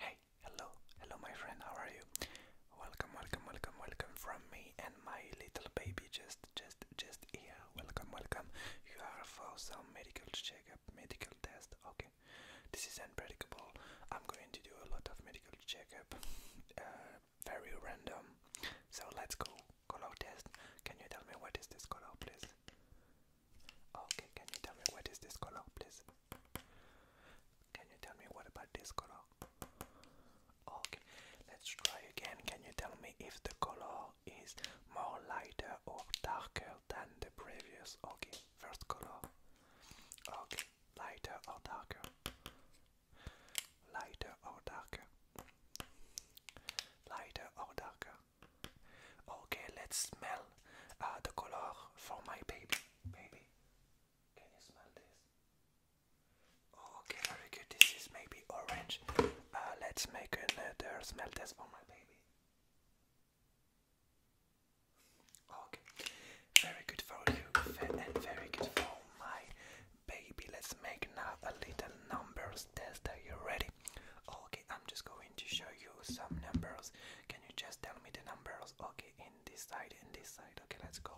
Hey, hello, hello my friend, how are you? Welcome, welcome, welcome, welcome from me and my little baby just just just here. Welcome, welcome. You are for some medical checkup, medical test, okay. This is unpredictable. I'm going to do a lot of medical checkup. Uh, very random. So let's go. Color test. Can you tell me what is this color please? Okay, can you tell me what is this color, please? Can you tell me what about this color? Okay, let's try again. Can you tell me if the color is more lighter or darker than the previous? Okay, first color. Okay, lighter or darker? Lighter or darker? Lighter or darker? Okay, let's smell uh, the color for my baby. Baby, can you smell this? Okay, very good. This is maybe orange. Uh, let's make another smell test for my baby. Okay, very good for you and very good for my baby. Let's make another little numbers test. Are you ready? Okay, I'm just going going to show you some numbers. Can you just tell me the numbers? Okay, in this side, in this side. Okay, let's go.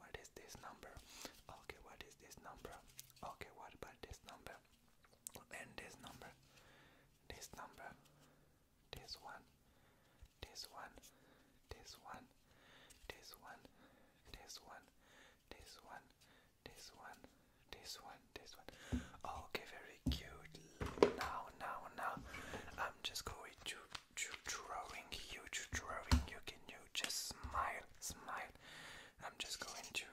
What is this number? Okay, what is this number? Okay, what about this number? And this number, this number, this one, this one, this one, this one, this one, this one, this one, this one, this one. Okay, very cute. Now, now, now, I'm just going to, to drawing you, to drawing you. Can you just smile, smile? I'm just going to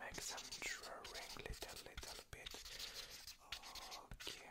make some drawing, little, little bit. Okay.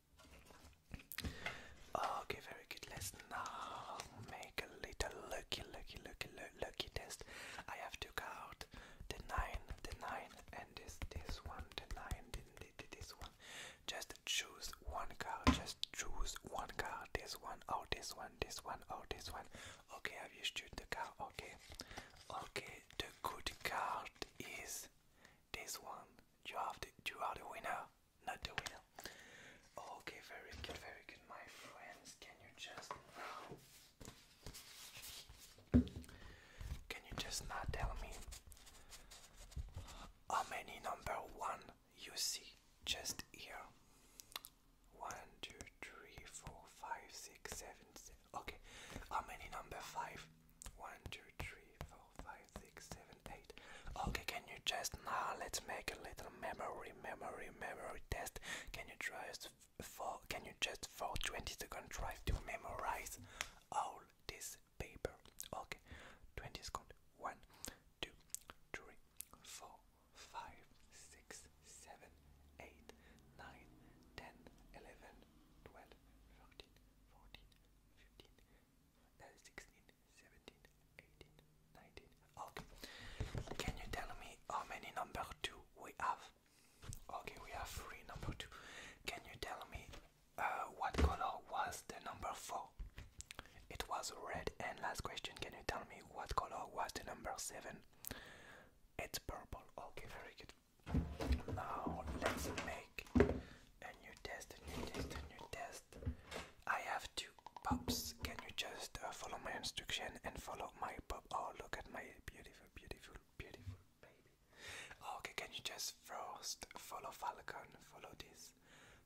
Okay, very good. let now make a little lucky, lucky, lucky, lucky test. I have took out the nine, the nine, and this, this one, the nine, the, this one. Just choose one card. Just choose one card. This one, or oh, this one, this one, or oh, this one. Okay, have you choose the card? Okay, okay. The good card is this one. You have the, you are the winner, not the winner. Oh, okay, very good, very good, my friends. Can you just now? Can you just not tell me how many number one you see just here? One, two, three, four, five, six, seven, Okay. How many number five? One, two, three, four, five, six, seven, eight. Okay, can you just now let's make a little memory, memory, memory test. Can you just for can you just for 20 seconds try to memorize all this paper? Okay. 20 seconds. One, two, three, four, five, six, seven, eight, nine, ten, eleven, 12, 13, 14, Okay. Can you tell me how many number 2 we have? Okay, we have 3 number 2. Can you tell me uh, what color was the number 4? It was red. And last question, can you tell me what color was the number 7? It's purple. Okay, very good. Now let's make a new test, a new test, a new test. I have two pops. Can you just uh, follow my instruction and follow my pop? Oh, look at my beautiful, beautiful, beautiful baby. Okay, can you just first follow Falcon? Follow this.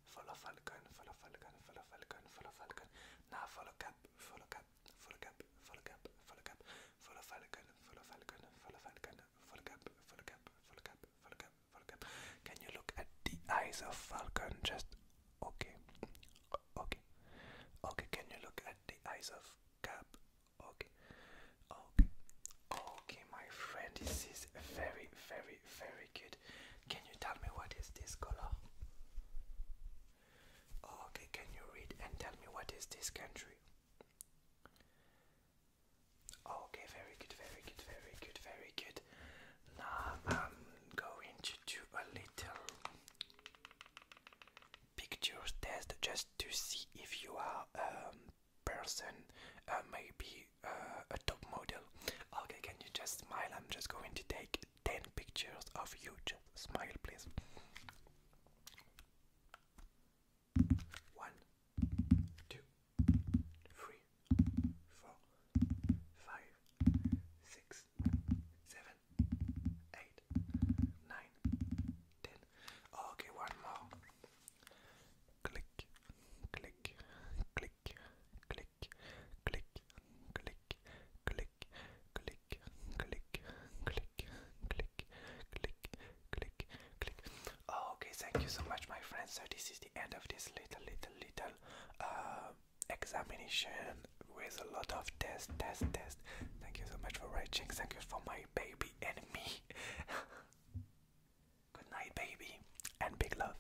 Follow Falcon. Follow Falcon. Follow Falcon. Follow Falcon. Now follow Cap. Follow Cap cap, full of cap, full of cap, full of cap, full of falcon, full of falcon, full of falcon, full of cap, full of cap, full of cap, full of cap, full of cap. Can you look at the eyes of falcon? Just okay, okay, okay. Can you look at the eyes of cap? Okay, okay, okay. My friend, this is very, very, very good. Can you tell me what is this color? Okay, can you read and tell me what is this country? Okay, very good, very good, very good, very good. Now I'm going to do a little pictures test just to see if you are a person, uh, maybe uh, a top model. Okay, can you just smile? I'm just going to take 10 pictures of you. Just smile, please. One, two, three, four, five, six, seven, eight, nine, ten. Okay, one more. Click, click, click, click, click, click, click, click, click, click, click, click, click, click, click. Oh, okay, thank you so much, my friends. So this is the end of this little, little, little uh, examination with a lot of test, test, test. Thank you so much for watching. Thank you for my baby and me. Good night, baby, and big love.